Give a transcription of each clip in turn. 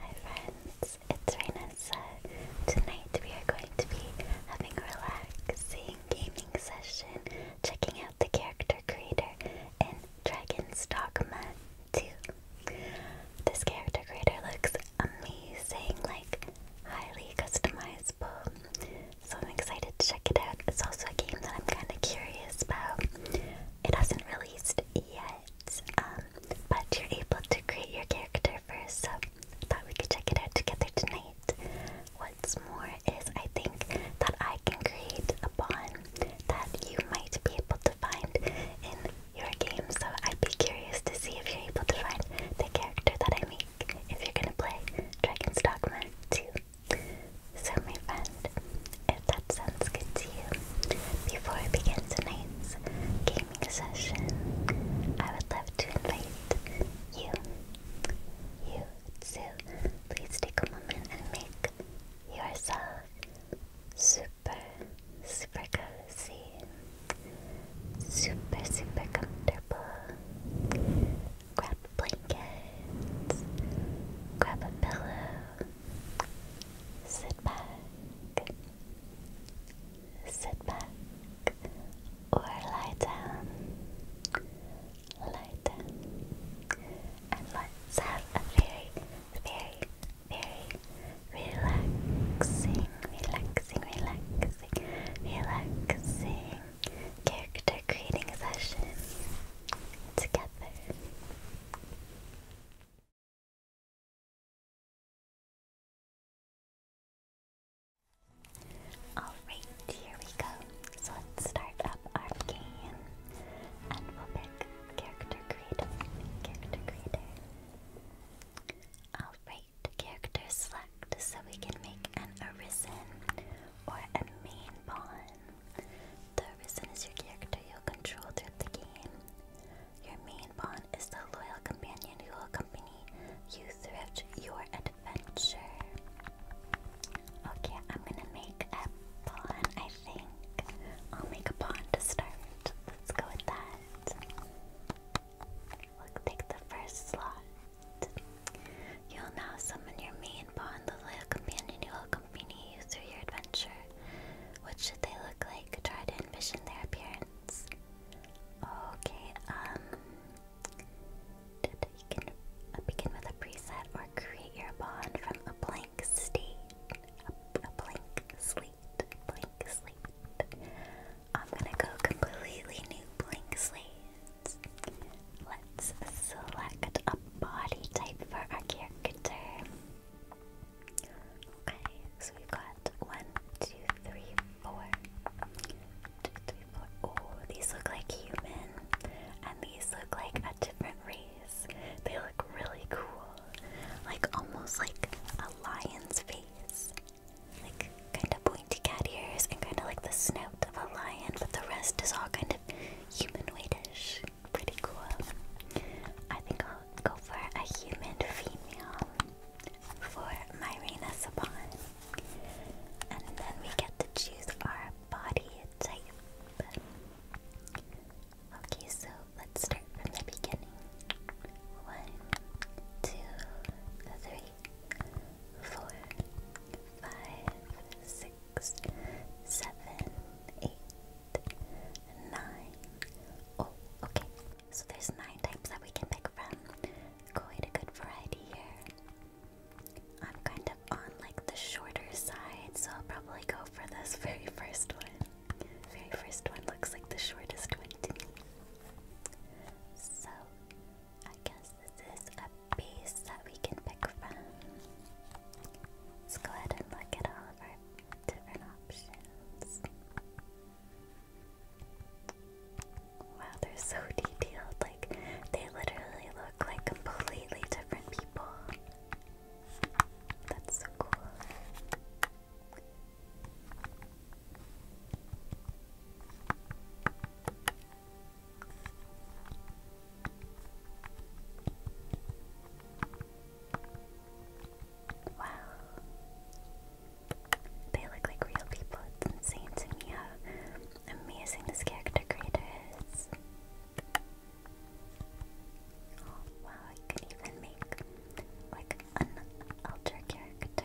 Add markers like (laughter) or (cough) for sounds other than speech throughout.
Hi friends, it's Rainessa. Tonight we are going to be having a relaxing gaming session, checking out the character creator in Dragon's Dogma 2. This character creator looks amazing, like highly customizable. So I'm excited to check it out. It's also a game that I'm kind of curious about. It hasn't released yet, um, but you're able to create your character first, so I thought we could check it out together tonight. What's more is I think that I can create a bond that you might be able to find in your game, so I'd be curious to see if you're able to find the character that I make if you're gonna play Dragon's Dogma 2. So my friend, if that sounds good to you. Before I begin tonight's gaming session, I would love to invite you, you to please take a moment and make yourself super, super cozy, super, super comfortable. Grab a grab a pillow, sit back, Sit back or lie down. Lie down. And let's have a very, very, very relaxing, relaxing, relaxing, relaxing character creating session together. Alright, here we go. So let's start up our game and we'll pick character creator. Character creator. Alright, character select so we can make an arisen or a main pawn. The arisen is your character you'll control throughout the game. Your main pawn is the loyal companion who will accompany you throughout your adventure. Okay, I'm gonna make a pawn, I think. I'll make a pawn to start. Let's go with that. take the first slot. You'll now summon your main pawn, the loyal companion who will accompany you through your adventure. What should they look like? Try to envision their appearance. Okay, um. You can uh, begin with a preset or create your bond from a blank state. A, blank slate. Blank slate. I'm gonna go completely new blank slates. Let's select a body type for our character. Okay, so we've got one, two, three, Oh, these look like human. And these look like a different race. They look really cool. Like almost like a lion's face. Like kind of pointy cat ears and kind of like the snout of a lion, but the rest is all kind of humanoidish. Pretty cool. I think I'll go for a human female for my Reina Saban. And then we get to choose our body type. Okay, so let's start from the beginning. One, two, three, four, five, six, seven, eight, nine. Oh, okay. So there's nine types that we can pick from. Quite a good variety here. I'm kind of on like the shorter side, so I'll probably go for this (laughs) very first one. Very first one looks like the shortest one to me. So I guess this is a piece that we can pick from. Let's go ahead and look at all of our Wow, they're so (laughs) detailed. Like, they literally look like completely different people. That's so cool. Wow. They look like real people. It's insane to me how amazing this character creator is. wow, I could even make like an alter character.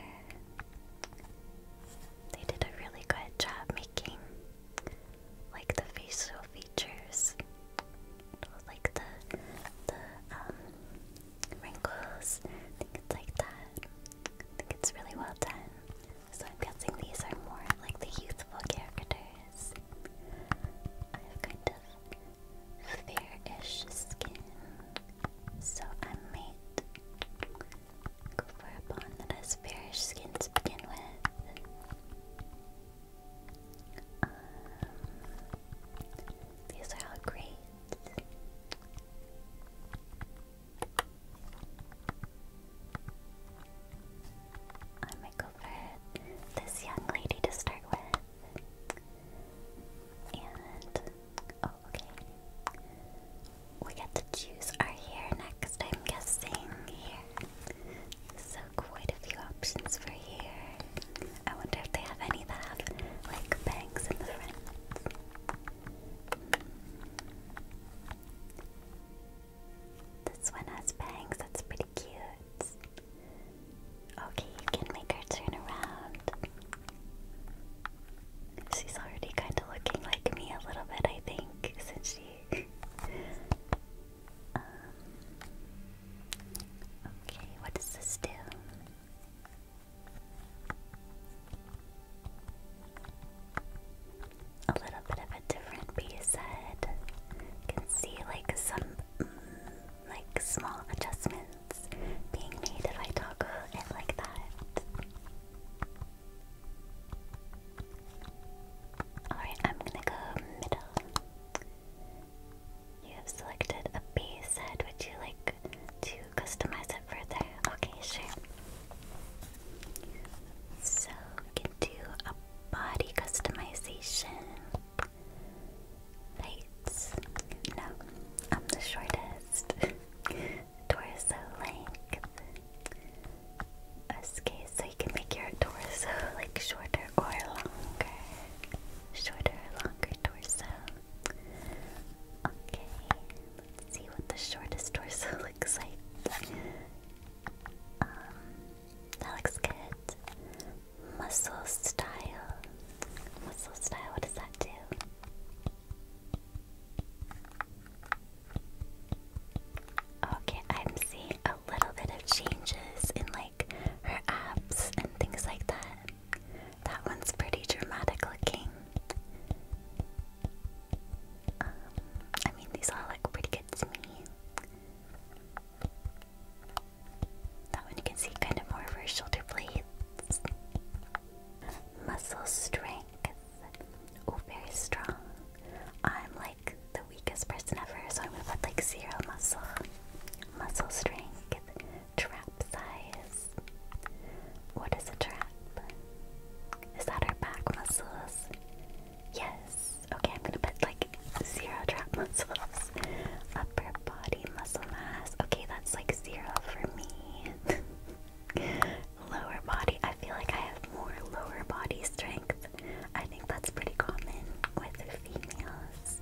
They did a really good job making like the facial features like the the um wrinkles. I think it's like that. I think it's really well done. So I'm guessing these are more like the youthful characters. I have kind of fair skin, so I might go for a bond that has fairish skin to begin with. Um, these are great. I might go for this young lady to start with. And, oh, okay. We get to choose our hair next, I'm guessing. Here. So quite a few options for here. I wonder if they have any that have like bangs in the front. This one has bangs, that's pretty cute. Okay, can make her turn around. She's already kind of looking like me a little bit, I think, since she. (laughs) Um, Okay, what does this do? A little bit of a different piece You can see like some mm, like small adjustments being made if I toggle it like that. Alright, I'm gonna go middle. You have selected a base head. Would you like to customize it further? Okay, sure. So we can do a body customization. Heights. No, I'm the shortest. (laughs) torso length. Okay, so you can make your torso like shorter or longer. Shorter or longer, torso. Okay, let's see what the shortest torso (laughs) looks like. Um, that looks good. Muscle style. Muscle style, what does that do? Okay, I'm seeing a little bit of changes in like her abs and things like that. That one's pretty dramatic looking. Um, I mean, these all look pretty good to me. That one you can see kind of more of her shoulder blades. Muscle strength. Oh, very strong. I'm like the weakest person ever, so I'm gonna put like zero muscle. Muscle strength. Trap size. What is a trap? Is that our back muscles? Yes. Okay, I'm gonna put like zero trap muscles. Upper body muscle mass. Okay, that's like zero for me. (laughs) lower body. I feel like I have more lower body strength. I think that's pretty common with females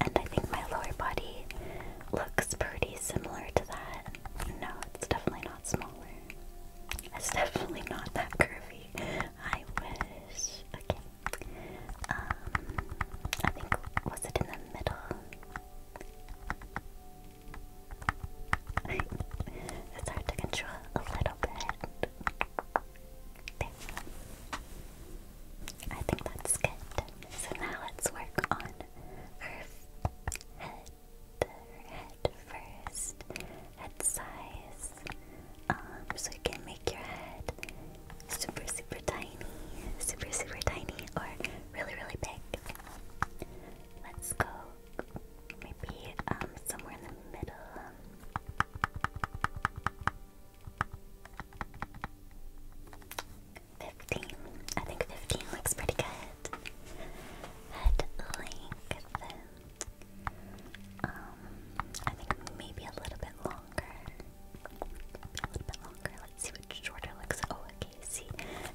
and I think my lower body looks pretty similar to that. No, it's definitely not smaller. It's definitely not that curvy. I wish. Okay. Um, I think was it in the middle? (laughs) it's hard to control a little bit. I think that's good. So now let's work on her head. Her head first. Head size. Um, so you can make your head super, super tiny, super, super tiny, or really, really big. Let's go maybe um, somewhere in the middle. 15. I think 15 looks pretty good. Head length. Um, I think maybe a little bit longer. a little bit longer. Let's see what shorter looks. Oh, okay. See,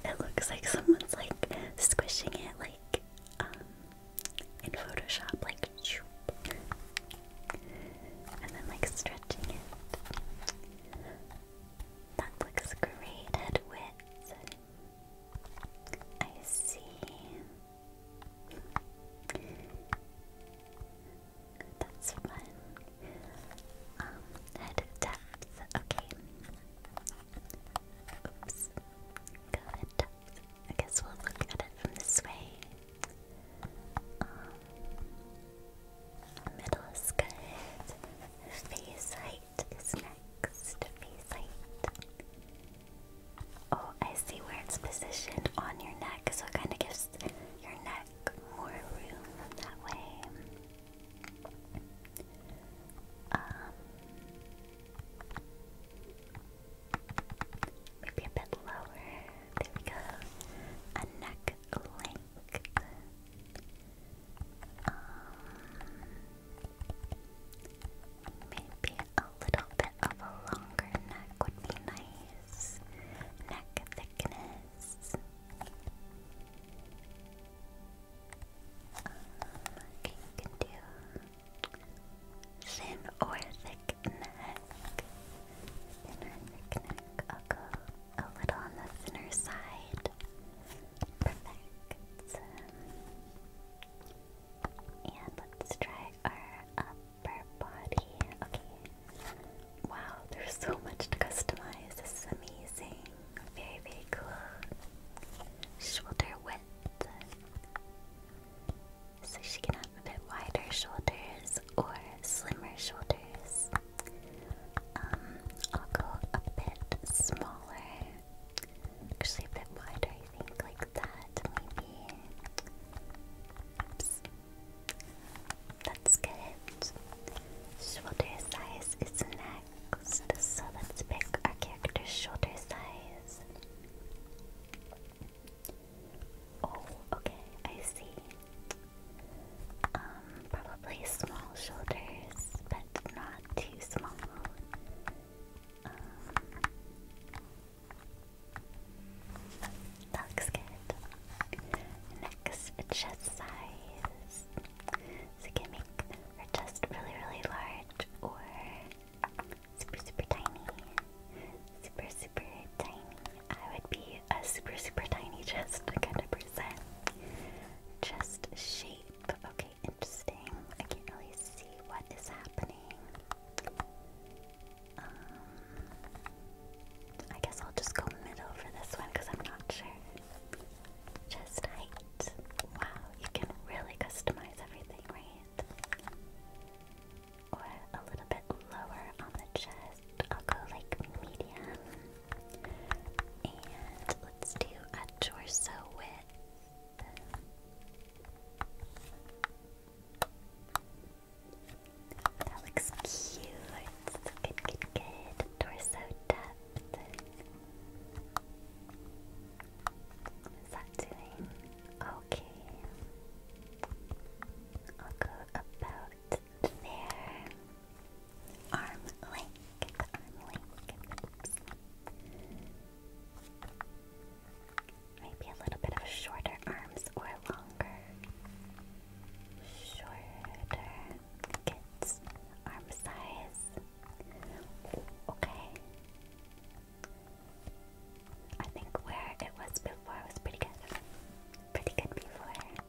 it looks like someone's like squishing it, like um, in Photoshop, like, and then like stretching it. That looks great, head width. I see. That's fun. Um, head depth. Okay. Oops. I guess we'll look at it from this way. Um, Middle is the Face height is next. to Face height. Oh, I see where it's positioned on your neck, so it kind of gives your neck more room that way. Um, maybe a bit lower. There we go. A neck length think um, maybe a little bit of a longer neck would be nice. Neck thickness. okay, you can do thin or thick neck. Thin or thick neck, I'll go a little on the thinner side. Perfect. And let's try our upper body. Okay. Wow, there's so much to customize. This is amazing. Very, very cool. Shoulder width. So she can have a bit wider shoulders or slimmer shoulders. Um, I'll go a bit smaller, actually a bit wider, I think, like that, maybe. That's good. Shoulder size is next, so let's pick our character's shoulder size. Oh, okay, I see. Um, probably small shoulders, but not too small. looks um, good. Next, chest size. So can make her chest really, really large or super, super tiny. Super, super tiny. I would be a super, super tiny chest kind of person. Chest shape. Okay, interesting. I can't really see what is happening. Um, I guess I'll just go middle for this one because I'm not sure. Just height. Wow, you can really customize everything, right? a little bit lower on the chest. I'll go like medium. And let's do a torso width. That looks cute. Good, good, good. Torso depth. What's that doing? Okay. I'll go about there arm length, Maybe a little bit of shorter arms or longer. Shorter kids, arm size. okay. I think where it was before was pretty good. Pretty good before.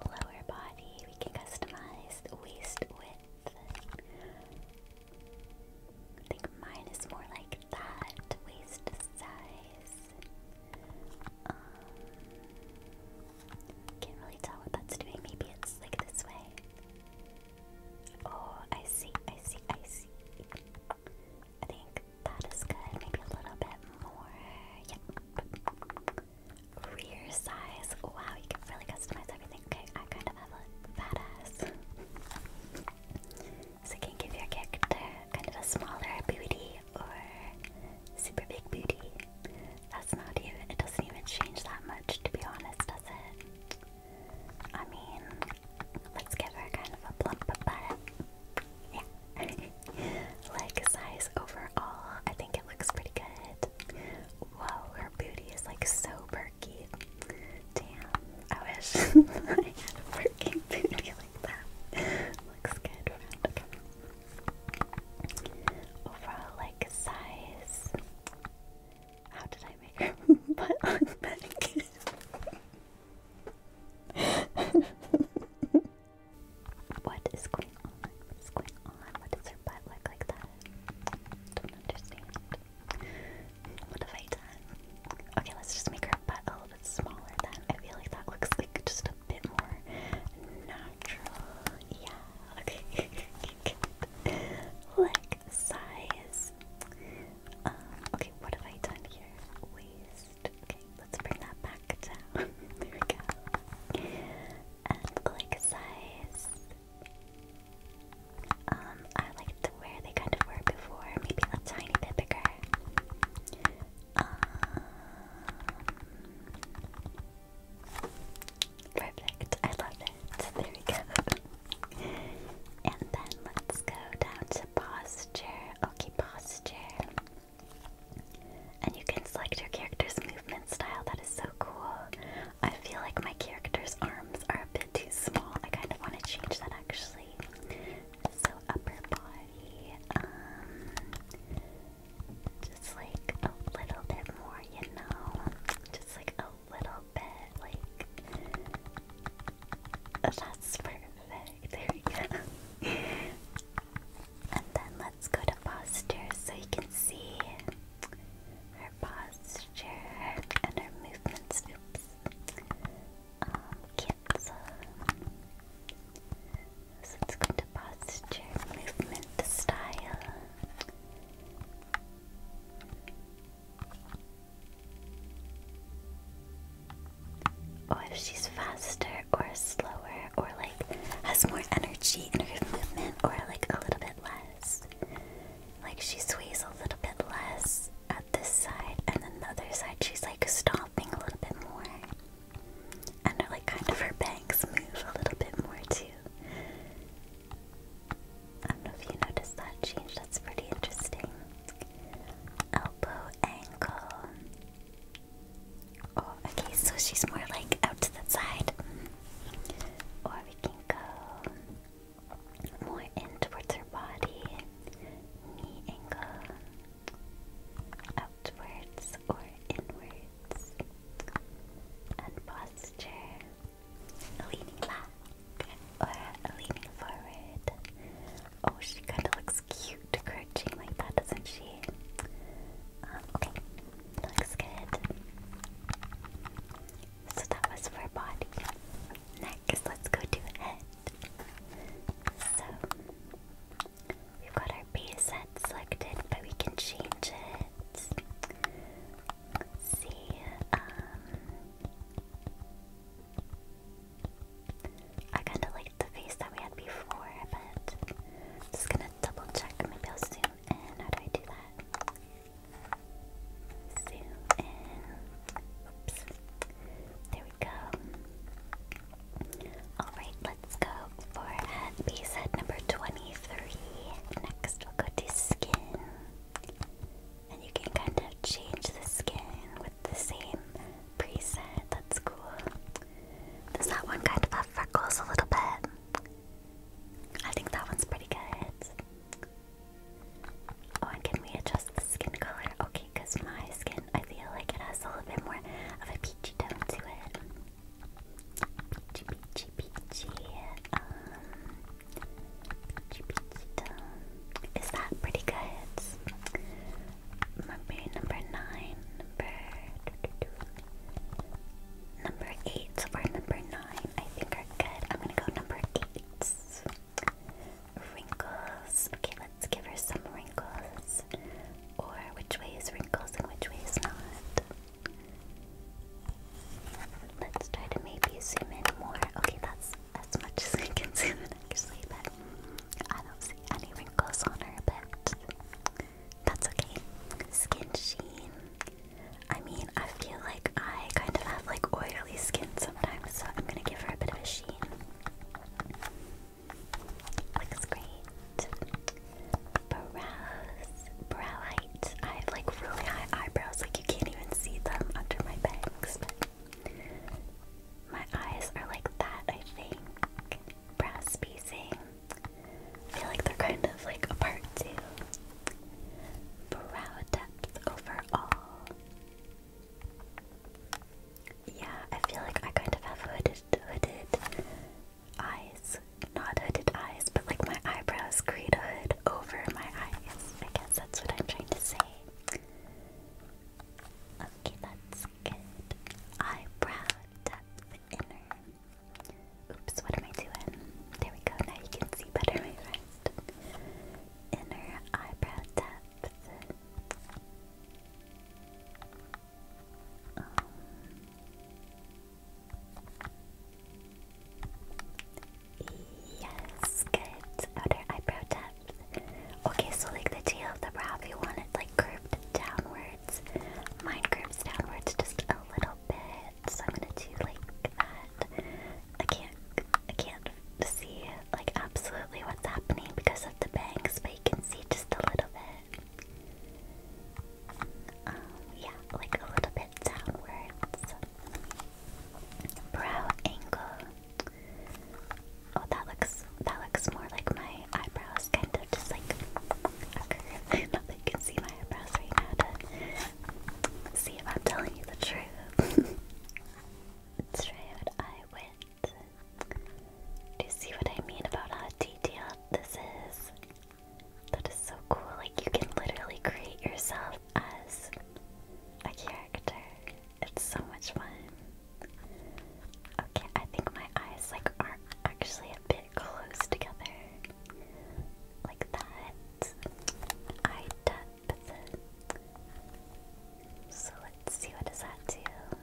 Lower body, we can customize the waist width. I think mine is more like that waist size. Um, can't really tell what that's doing. Maybe it's like this way. Oh, I see, I see, I see. I think that is good. Maybe a little bit more. Yep rear size. Wow, you can really customize everything. Okay, I kind of have a fat ass. so you can give your kind of a smaller booty or super big booty. That's not even, it doesn't even change that much to be honest, does it? I mean, let's give her kind of a plump butt. (laughs) Yeah. Leg size overall, I think it looks pretty good. Whoa, her booty is like so perky. Damn, I wish (laughs) I had a perky booty like that. Looks good. Okay. Overall leg size. How did I make her butt (laughs) on back? (laughs) What is going on? What is going on? What does her butt look like that? Don't understand. What have I done? Okay, let's just make her butt a little bit smaller then. I feel like that looks like just a bit more natural. Yeah, okay. Good. (laughs) size. Um, okay, what have I done here? Waist. Okay, let's bring that back down. (laughs) there we go. And like size. Um, I like to where they kind of were before, maybe a tiny bit bigger. Um, perfect. I love it. There we go. and then let's go down to posture. Okay, posture. And you can select your character's movement style. That is so cool. I feel like my character's arms are a bit too small. I kind of want to change that actually. So upper body, um, just like a little bit more, you know, just like a little bit, like. That's perfect. There we go. (laughs) and then let's go to posture so you can see her posture and her movements. Oops. Um, let's go to posture, movement, style or if she's faster or slower or like has more energy in her movement or like a little bit less. Like she sways a little bit less at this side and then the other side she's like stomping a little bit more. And her like kind of her bangs move a little bit more too. I don't know if you noticed that change, that's pretty interesting. Elbow, ankle, Oh, okay, so she's more like out to the side. Or we can go more in towards her body. Knee angle. Outwards or inwards. And posture. Leaning back or leaning forward. Oh, she kind of looks cute cute like that, doesn't she? Um, okay, looks good. So that was for body. Next, let's go to head. So, we've got our base set selected, but we can change it. see, um, I kind of like the face that we had before, but I'm just gonna double check. Maybe I'll zoom in. How do I do that? Zoom in. Oops. There we go. Alright, let's go for head number 23. Next, we'll go to skin. And you can kind of change the skin with the same preset. That's cool. Does that one kind of have freckles a little bit? I think that one's pretty good. Oh, and can we adjust the skin color? Okay, my skin, I feel like it has a little bit more of a peachy tone to it. Peachy, peachy, Um, peachy, peachy Is that pretty good? Number nine, number eight. So far, number nine, I think are good. I'm gonna go number eight. Wrinkles. Okay, let's give her some wrinkles. Or which way is wrinkles and which way is not. Let's try to maybe zoom in more. Okay, that's as much as I can (laughs) zoom in actually, but I don't see any wrinkles on her, but that's okay. Skin sheen. I mean, I feel like I kind of have like oily skin sometimes, so I'm gonna give her a bit of a sheen. Looks great. Brows. Brow height. I have like really high eyebrows, like you can't even see them under my bangs, my eyes are like that, I think. Brow spacing. I feel like they're kind of like a part two. Brow depth overall. Yeah, I feel like I kind of have hooded, hooded eyes. Not hooded eyes, but like my eyebrows create a hood over my eyes. I guess that's what I'm trying to say. Okay, that's good. Eyebrow depth inner. Oops, what am I doing? There we go, now you can see better my wrist. Inner eyebrow depth. Um, yes, good. Outer eyebrow depth. Okay, so like the tail of the brow, if you want it like curved downward, downwards. Mine curves downwards just a little bit, so I'm gonna do like that. I can't, I can't see like absolutely what's happening because of the bangs, but you can see just a little bit. Um, yeah, like a little bit downwards. Brow angle. Oh, that looks that looks more like my my eyebrows kind of just like a (laughs) can see my eyebrows see if I'm telling you the truth. let (laughs) out eye width. Do you see what I mean about how detailed this is? That is so cool. Like you can literally create yourself as a character. It's so much fun. Okay, I think my eyes like are actually a bit close together like that. I tap So let's see what does that do.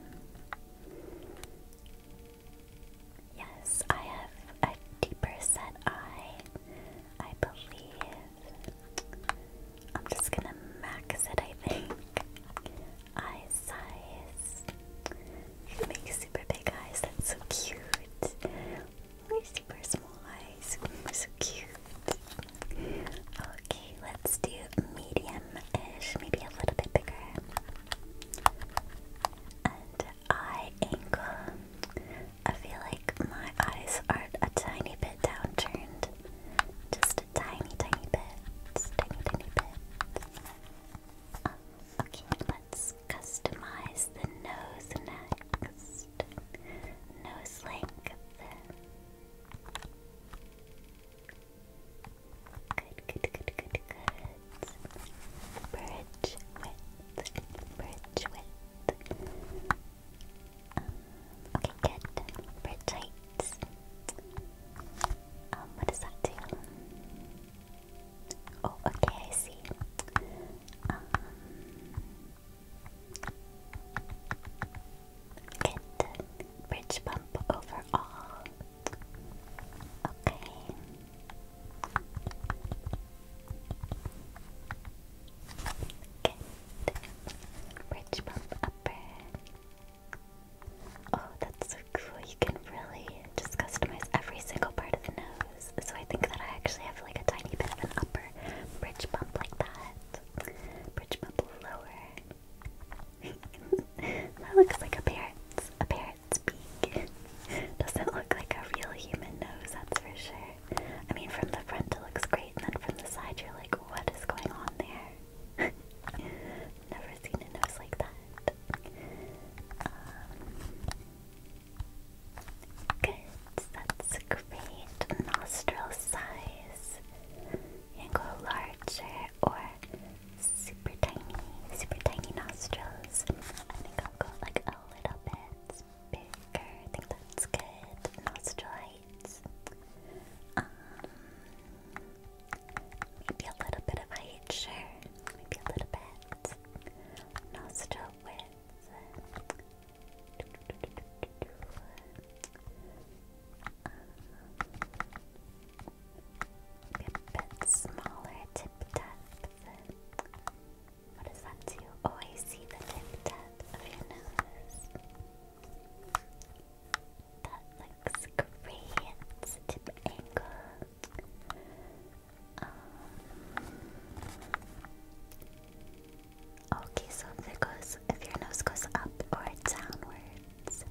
Yes, I have a deeper set eye, I believe. I'm just gonna max it, I think. Eye size. He makes super big eyes. That's so cute. We're super small eyes. We're so cute. Okay, let's do medium-ish, maybe a little bit bigger. And eye angle. I feel like my eyes are a tiny bit downturned. Just a tiny, tiny bit. Tiny, tiny bit okay, let's customize the nose next. Nose length. Good, good, good, good, good. Bridge width. Bridge width. okay, good. Bridge height. Um, what does that do? Oh, okay, I see. Um, Bridge bump overall. Okay. Good. Bridge bump upper. Oh, that's so cool. You can really just customize every single part of the nose. So I think that I actually have like a tiny bit of an upper bridge bump like that. Bridge bump lower. (laughs) that looks like a parrot's, a parrot's beak. Doesn't look like a real human nose, that's for sure. I mean, from the front it looks great, and then from the side you're like, what is going on there? (laughs) never seen a nose like that. Um, good, that's great. Nostril size. You go larger or super tiny, super tiny nostrils. I think i have got like a little bit bigger. I think that's good. Nostril Maybe a little bit of height, sure. Maybe a little bit. Nostril maybe a bit smaller tip depth. What does that do? Oh, I see the tip depth of your nose. That looks great. Tip angle. Um, okay, so if it goes, if your nose goes up or downwards,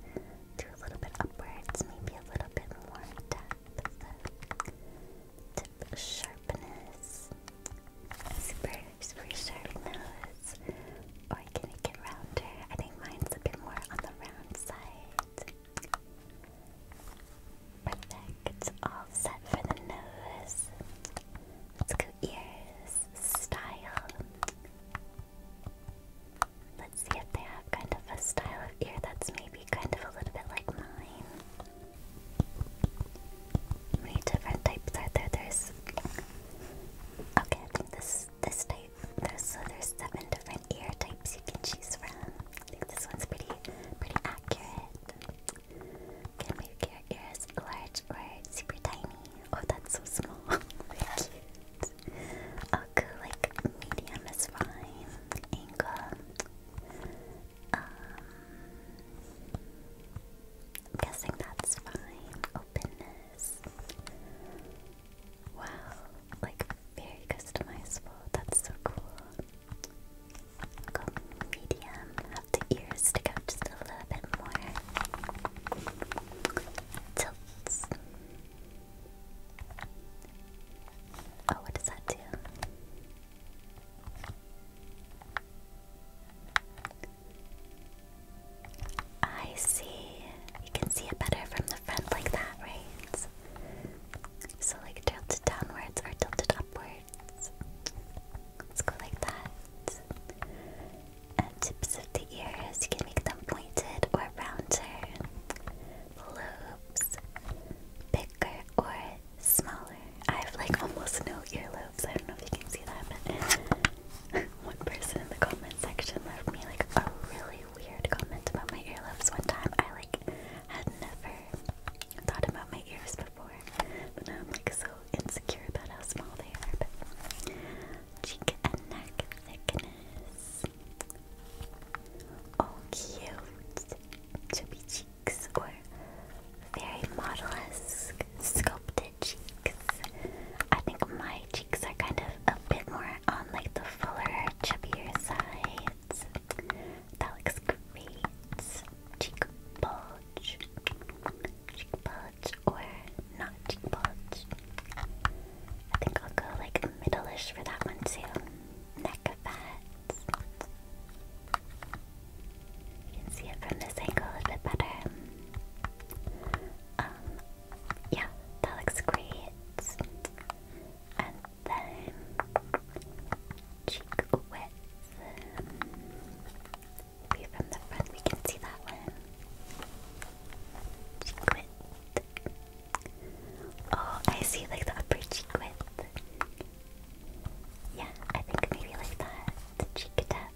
do a little bit upwards, maybe a little bit more depth. Tip sharpness, super, super or can it get rounder? I think mine's a bit more on the round side. Perfect. All set for the nose. Let's go ears. Style. Let's see if they have kind of a style of ear that's maybe kind of a little bit like mine. many different types are there? There's. Okay, I think this this type there's, so there's seven different ear types you can choose from. I think this one's pretty, pretty accurate. Can make your ears large or super tiny. Oh, that's so small. Very (laughs) cute. I'll oh, go like medium is fine. Angle. Um, guessing that's fine. Openness. Wow, like very customizable. That's so cool. i medium. Have the ears stick out just a little bit more. Tilts. Oh, what does that do? I see. You can see it better from the front like that, right? So like tilted downwards or tilted upwards. Let's go like that. And tips of the ears, you can make them pointed or rounder. Lobes, bigger or smaller. I have like almost no earlobes. I don't know if you can see that, but (laughs) one person in the comment section left me like a really weird comment about my earlobes one time. I like had never thought about my ears before, but now I'm like so insecure about how small they are. But cheek and neck thickness. Oh, cute. Chubby cheeks or very model-esque sculpted cheeks. I think my cheeks are kind of a bit more on like the fuller, chubbier side that. looks great. Cheek bulge. Cheek bulge or not cheek bulge. I think I'll go like middle for that one too. Neck of You can see it from this angle a bit better. Um, yeah, that looks great time. Cheek width. Maybe from the front we can see that one. Cheek Oh, I see like the upper cheek Yeah, I think maybe like that. cheek depth.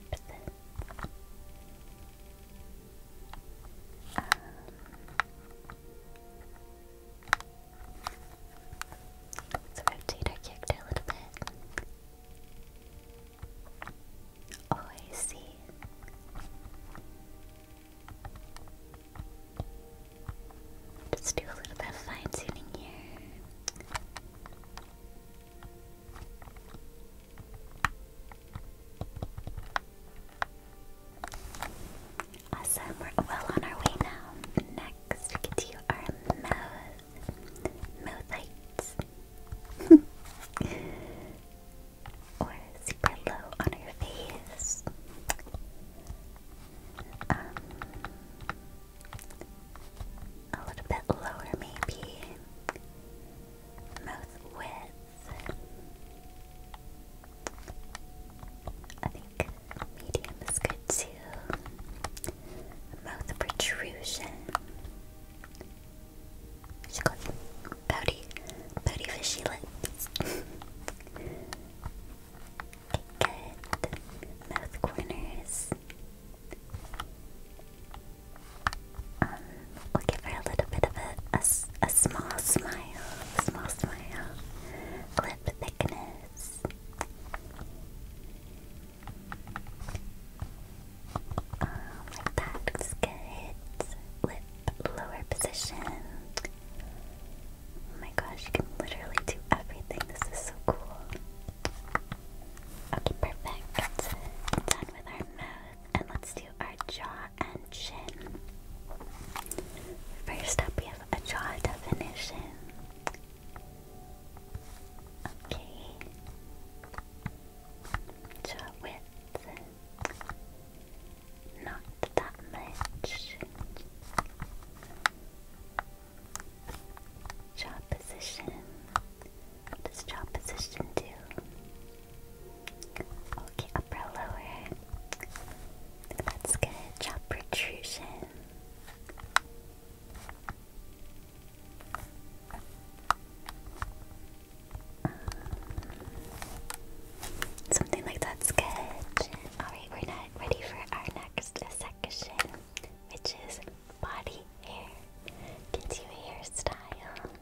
Let's rotate our character a little bit. Oh, I see. Let's do a little bit of fine tuning here. Awesome, we're well on our way now. Next, we get to our mouth. Mouthites. (laughs) or super low on her face. Um, a little bit lower, maybe. Mouth width. I think medium is good too. Mouth protrusion. She got pouty, pouty fishy lips. okay, (laughs) good. Mouth corners. Um, we'll give her a little bit of a a small smile, a small smile, lip thickness. Um, like that, I'm lip lower position. Oh my gosh, you can literally do everything. This is so cool. Okay, perfect. Done with our mouth, and let's do our jaw and chin. First up, we have a jaw definition. Okay. Jaw width. Not that much. Jaw position. What does jaw position do? Okay, upper lower. Let's get protrusion. Um, something like that's good. Alright, we're not ready for our next section, which is body hair. Get hairstyle.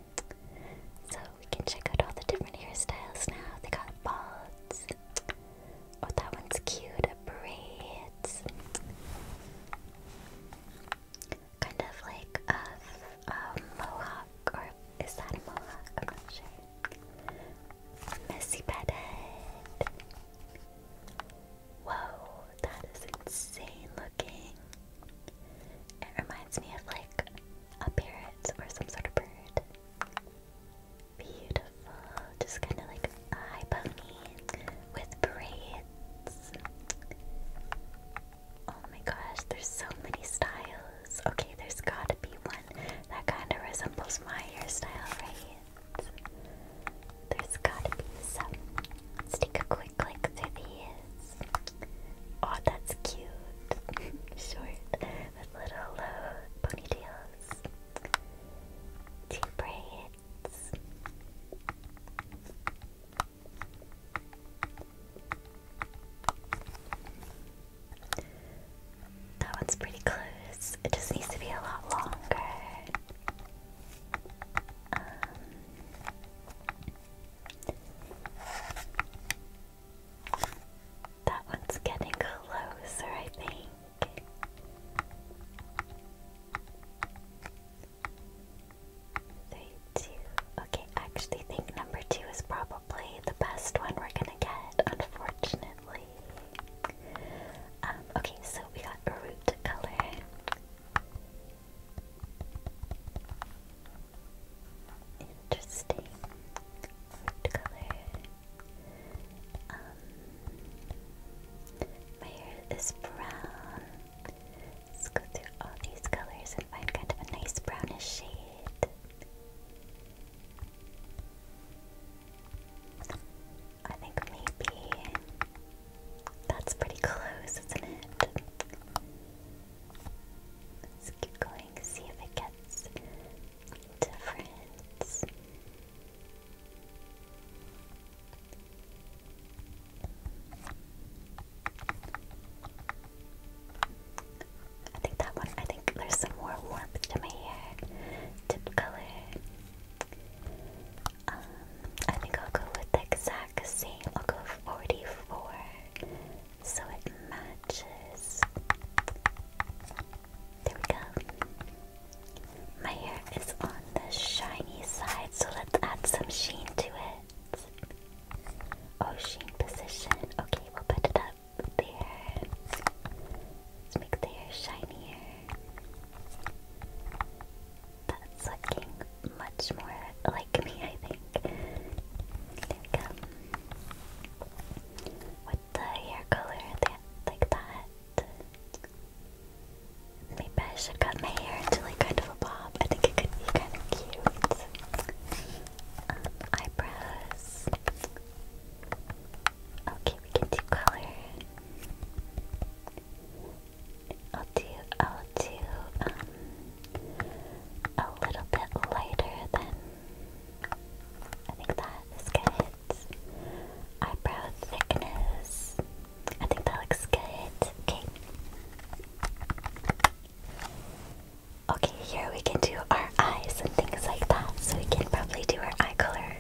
So we can check out all the different hairstyles now. They got balds. Oh, that one's cute. Braids. Kind of like a mohawk, or is that a mohawk? I'm not sure. Messy bedhead. Whoa, that is insane looking. It reminds me of like a parrot or some sort of bird. Beautiful. Just kind of like high pony with braids. Oh my gosh, there's so many styles. Okay, there's gotta be one that kind of resembles my hairstyle, right? There's gotta be some. Let's take a quick look through these. Oh, that's cute. (laughs) Short little uh, ponytails, two braids. That one's pretty close. It just needs to be a lot longer. Um, that one's getting closer, I think. Three, two. Okay, actually think number two is probably the best one we're gonna get, unfortunately. Um, okay, so we got root color. Interesting. Root color. Um, my hair is brown. Let's go through all these colors and find kind of a nice brownish shade. I think maybe that's pretty close, isn't it? Let's keep going, see if it gets difference. I think that one, I think there's some more warmth to my hair, tip color. Um, I think I'll go with the exact same, I'll go 44 so it matches. There we go. My hair is on the shiny side, so let's add some sheen to it. Oh, sheen position. Okay, we'll put it up there. Let's make the hair shinier. That's looking much more like me, I think. There we go the hair color that, like that. Maybe I should cut my hair into like kind of a bob. I think it could be kind of cute. Um, eyebrows. Okay, we can do color. I'll do, I'll do, um, a little bit lighter than I think that is good. Eyebrow thickness. I think that looks good. Okay. Okay, here we can do our eyes and things like that. So we can probably do our eye color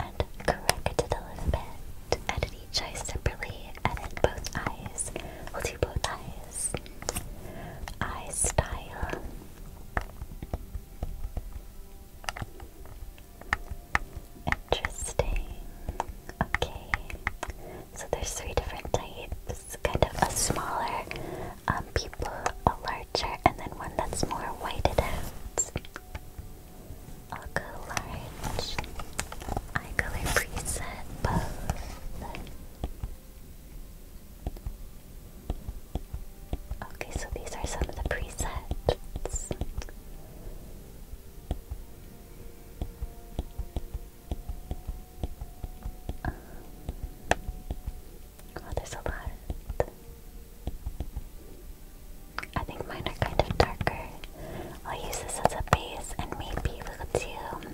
and correct it a little bit. Edit each eye separately. Edit both eyes. We'll do both eyes. Eye style. Interesting. Okay. So there's three different types. Kind of a smaller um people, a larger, and then one that's more whited I'll go large. Eye color preset both. Okay, so these are some of the presets. Um, well, oh, there's a lot. I think mine are kind of darker. I'll use this as a base and maybe we'll do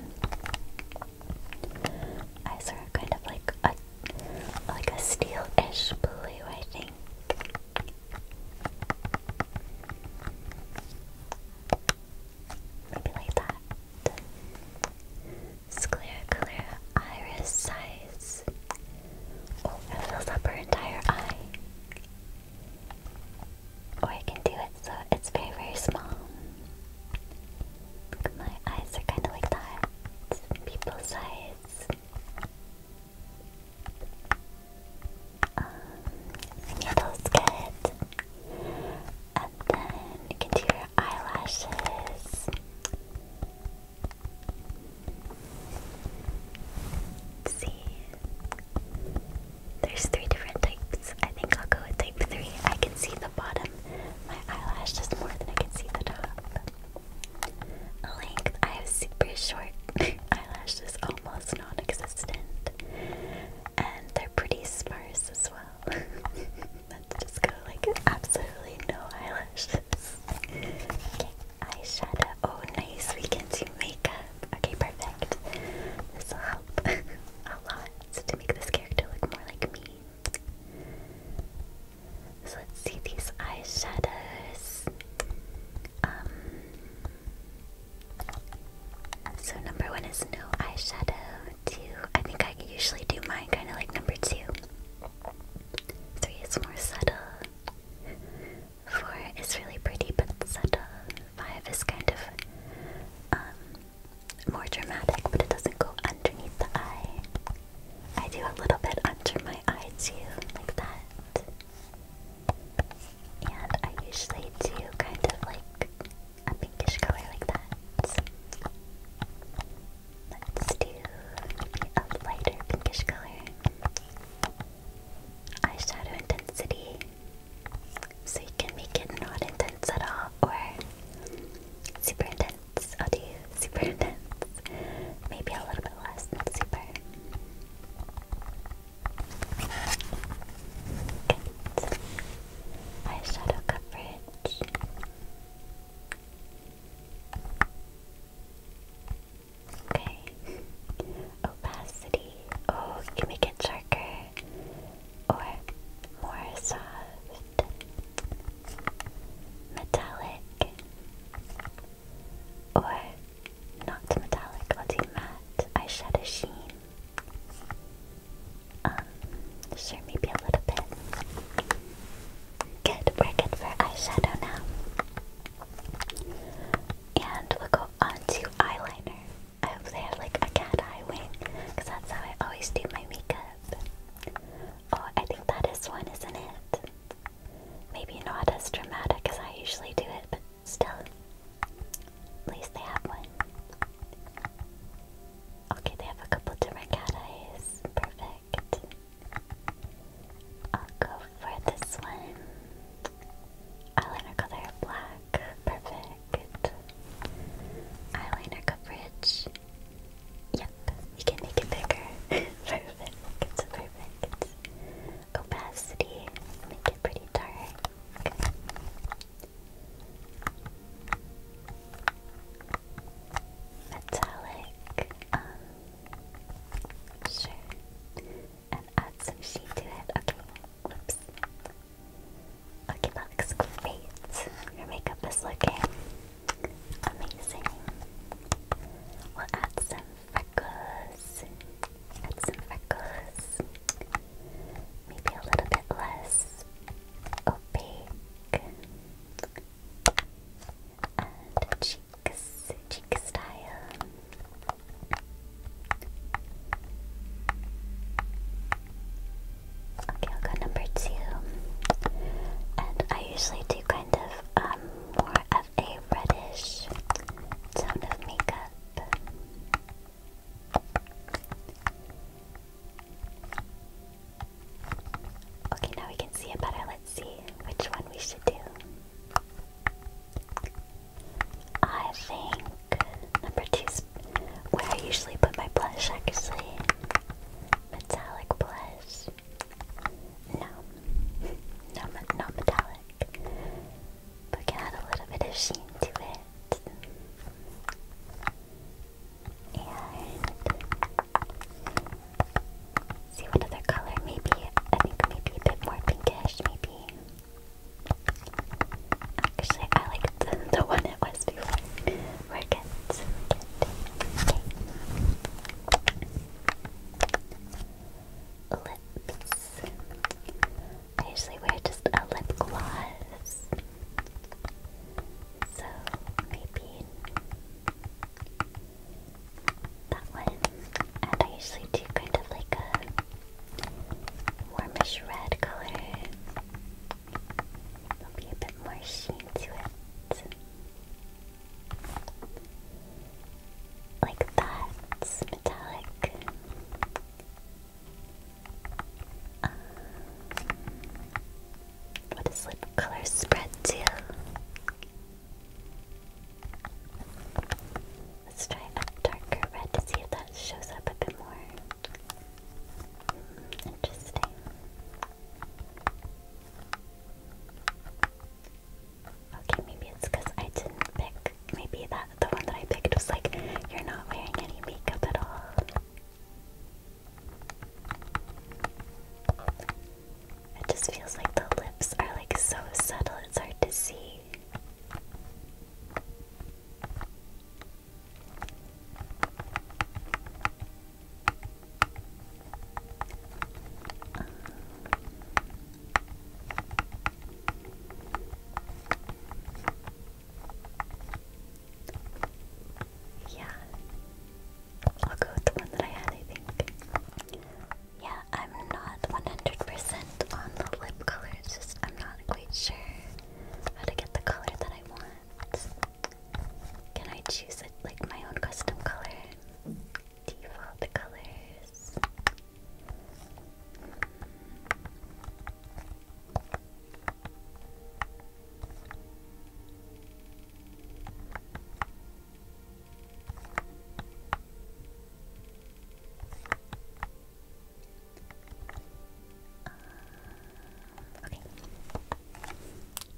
eyes are kind of like a like a steelish blue, I think. Maybe like that. Sclera clear iris size. Oh, it fills up her entire eye. Or I can do it so it's very, very small my eyes are kind of like that. People's eyes. needle's um, good. And then you can do your eyelashes. see. There's three different types. I think I'll go with type three. I can see the bottom. My eyelash more than I can see the top. Length, I have super short (laughs) eyelashes, almost non existent. And they're pretty sparse as well. (laughs) let just go like absolutely no eyelashes. okay, eyeshadow. Oh, nice. We can do makeup. Okay, perfect. This will help (laughs) a lot to make this character look more like me. So let's see these eyeshadows. Um, so number one is no eyeshadow. Two, I think I usually do mine kind of like number two. Three is more subtle. Four is really pretty but subtle. Five is kind of um, more dramatic, but it doesn't go underneath the eye. I do a little bit under my eyes too, like that. And I usually do kind of like a pinkish color like that. Let's do maybe a lighter pinkish color. Eyeshadow intensity. So you can make it not intense at all or super intense. I'll do super intense. Maybe a little bit less than super. Eyeshadow coverage. Okay. Opacity. Oh, can make it darker or more soft metallic, or not metallic, I'll matte eyeshadow sheen. Um, sure, maybe a little bit. Good, we're good for eyeshadow now. And we'll go on to eyeliner. I hope they have like a cat eye wing, because that's how I always do my makeup. Oh, I think that is one, isn't it? Maybe not as dramatic as I usually do it, but still. At least they have one. Okay, they have a couple different cat eyes. Perfect. I'll go for this one. Eyeliner color black. Perfect. Eyeliner coverage. Yep, you can make it bigger. (laughs) perfect. It's perfect. Opacity. Make it pretty dark. Metallic. Um, sure. And add some sheen to it. Okay. Whoops. Okay, looks great. Your makeup is looking Amazing. We'll add some freckles. Add some freckles. Maybe a little bit less opaque. And cheeks, cheek style. Okay, I'll go number two. And I usually do kind of um, more of a reddish tone of makeup. Okay, now we can see it better. Let's see which one we should do. I think number two where I usually put my blush, actually. Metallic blush. No. not metallic. But can add a little bit of sheen to it. And see what other color, maybe, I think maybe a bit more pinkish, maybe. Actually, I like the, (laughs) one it was before. we Lips. I usually wear just a lip gloss. So maybe that one. And I usually do kind of like a warmish red color. There'll be a bit more sheen to it. Like that. metallic. Um, what does lip color spread to? Let's try a darker red to see if that shows up a bit more. Hmm, interesting. Okay, maybe it's because I didn't pick. Maybe that the one that I picked was like, you're not wearing any makeup at all. It just feels like the lips are like so subtle, it's hard to see. Yeah. I'll go with the one that I had, I think. Yeah, I'm not 100 on the lip color, it's just I'm not quite sure how to get the color that I want. Can I choose like my own custom color? Default colors. Uh, okay.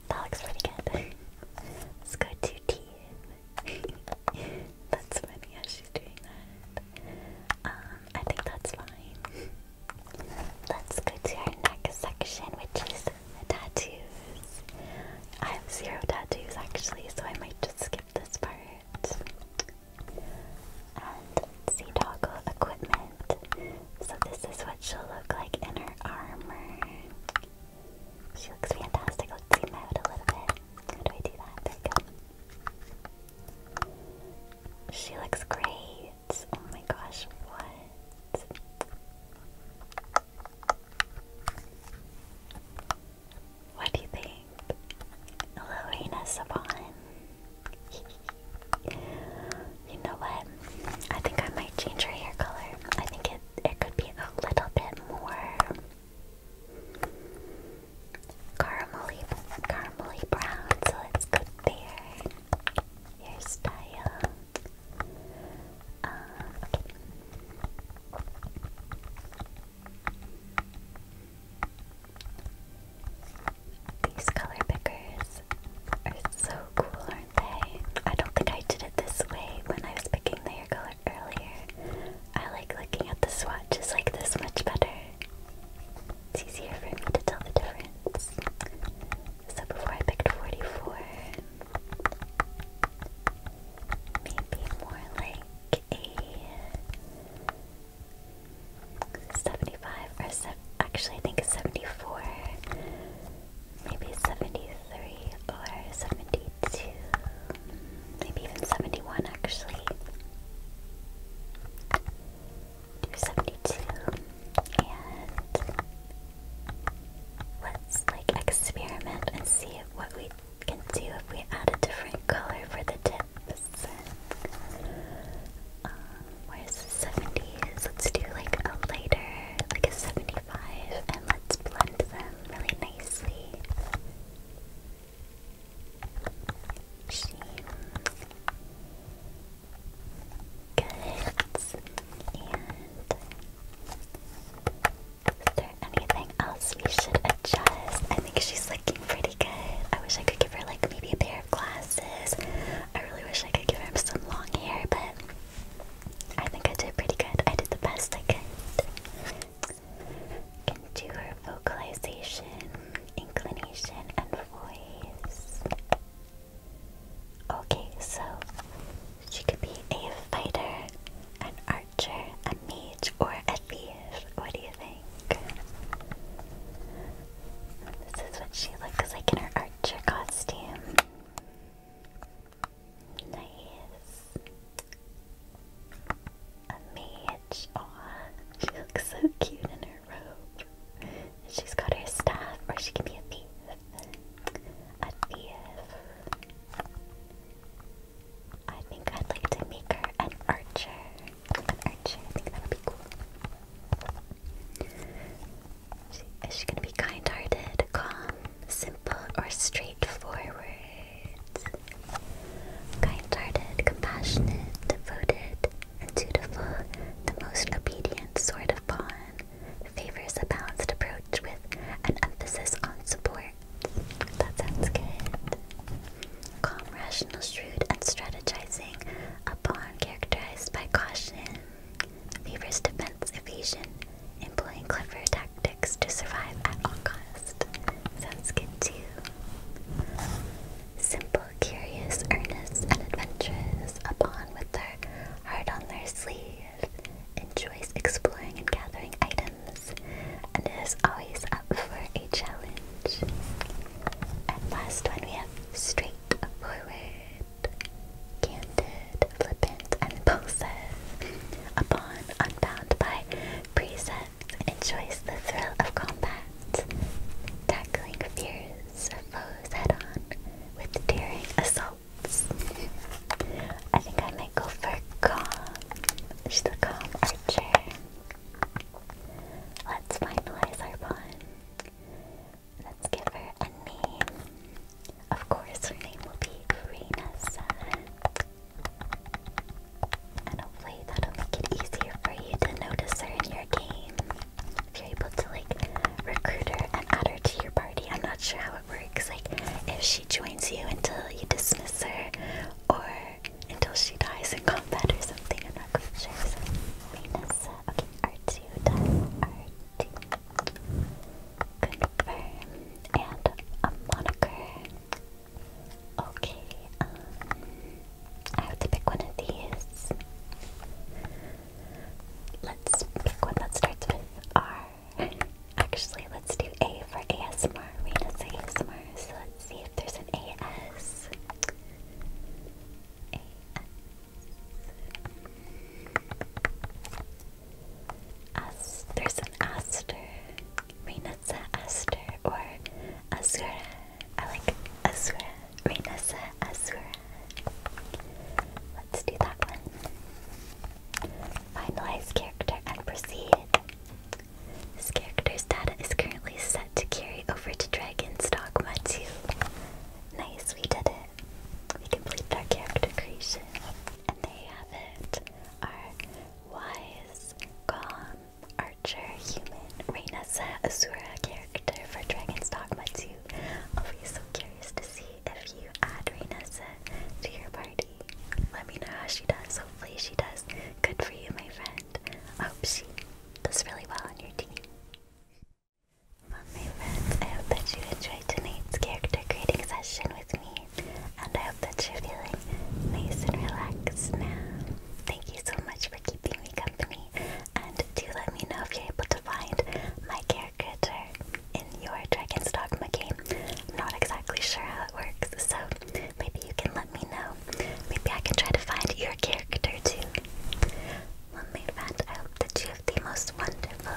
That looks pretty good. (laughs) Let's go to team. (laughs) that's funny how she's doing that. Um, I think that's fine. Let's go to our next section, which is tattoos. I have zero tattoos actually, so I might just skip this part. And sea toggle equipment. So this is what she'll look like in her armor. She looks fantastic. Let's zoom out a little bit. How do I do that? There we go. She looks great. Oh my gosh, what? What do you think? Hello, Saban. (laughs) You know what? I think I might change her hair color. I think it it could be a little bit more caramelly, caramelly brown, so it's good there. Hairstyle. Um, These color pickers so cool, aren't they? I don't think I did it this way when I was picking the hair color earlier. I like looking at the swatch just like this much better. It's easier for me to tell the difference. So before I picked 44, maybe more like a 75 or actually I think a 74 maybe 73 or 72, maybe even 71 actually. Do 72 and let's like experiment and see what we can do if we add a different color for the tips. Um, where's the 70s? Let's do like a lighter like a 75 and let's blend them really nicely. She Good. is there anything else we should adjust? I think she's looking pretty good. I wish I could give her like maybe a pair of glasses. I really wish I could give her some long hair, but I think I did pretty good. I did the best I could. Can do her vocalization, inclination, and voice. Okay, so she could be a fighter, an archer, a mage, or a thief. What do you think? This is what she looks like in her archer costume. Nice. A mage. Aw, she looks so cute in her robe. She's got her staff, or she can be a thief. A thief. I think I'd like to make her an archer. An archer, I think that would be cool is she going to be kind hearted, calm, simple, or straightforward? Kind hearted, compassionate, devoted, and dutiful, the most obedient sort of pawn, favors a balanced approach with an emphasis on support. That sounds good. Calm, rational, shrewd, and strategizing, a pawn characterized by caution, Favors defense evasion, employing clever tactics to survive at all cost. Sounds good too. Simple, curious, earnest, and adventurous, upon with their heart on their sleeve, enjoys exploring and gathering items, and is always up for a challenge. And last one we have straight straightforward candid, flippant, and impulsive. Upon, unbound by precept, enjoys the thrill of combat, tackling fears of foes head-on with daring assaults. I think I might go for calm. She's a calm archer. Let's finalize our bond. Let's give her a name. Of course, her name will be Reina-san. And hopefully that'll make it easier for you to notice her in your game. If you're able to like recruit her and add her to your party, I'm not sure how it works. Like if she joins you until you dismiss her, or until she dies in combat or something. I'm not quite sure. So reina okay, R2 r Confirm. And a moniker. Okay, um, I have to pick one of these. Let's pick one that starts with R. Um, Actually, let's do A for ASMR. Rena's ASMR. So let's see if there's an AS. As there's an Aster, Renessa Aster, or Azura. I like Azura, Renessa Azura. Let's do that one. Finalize character and proceed. This character's data is currently set to carry over to Dragon's Dogma 2. Nice, we did it. We completed our character creation and they have it. Our wise, calm, archer, human, Reynasa, Asura character for Dragon's Dogma 2. I'll be so curious to see if you add Reynasa to your party. Let me know how she does. Hopefully she does. Good for you, my friend. I hope she does really well on your team my friends, I hope that you enjoyed tonight's character creating session with me, and I hope that you're feeling nice and relaxed now. Thank you so much for keeping me company, and do let me know if you're able to find my character in your Dragon's Dogma game. I'm not exactly sure how it works, so maybe you can let me know. Maybe I can try to find your character too. Well, my friend, I hope that you have the most wonderful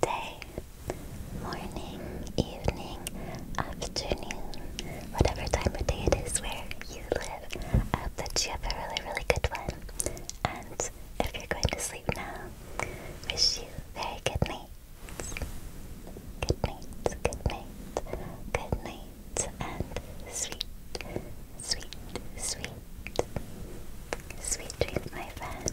day morning, evening, afternoon, whatever time of day it is where you live. I hope that you have a really, really good one. And if you're going to sleep now, wish you very good night. Good night, good night, good night, and sweet, sweet, sweet, sweet dreams, my friend.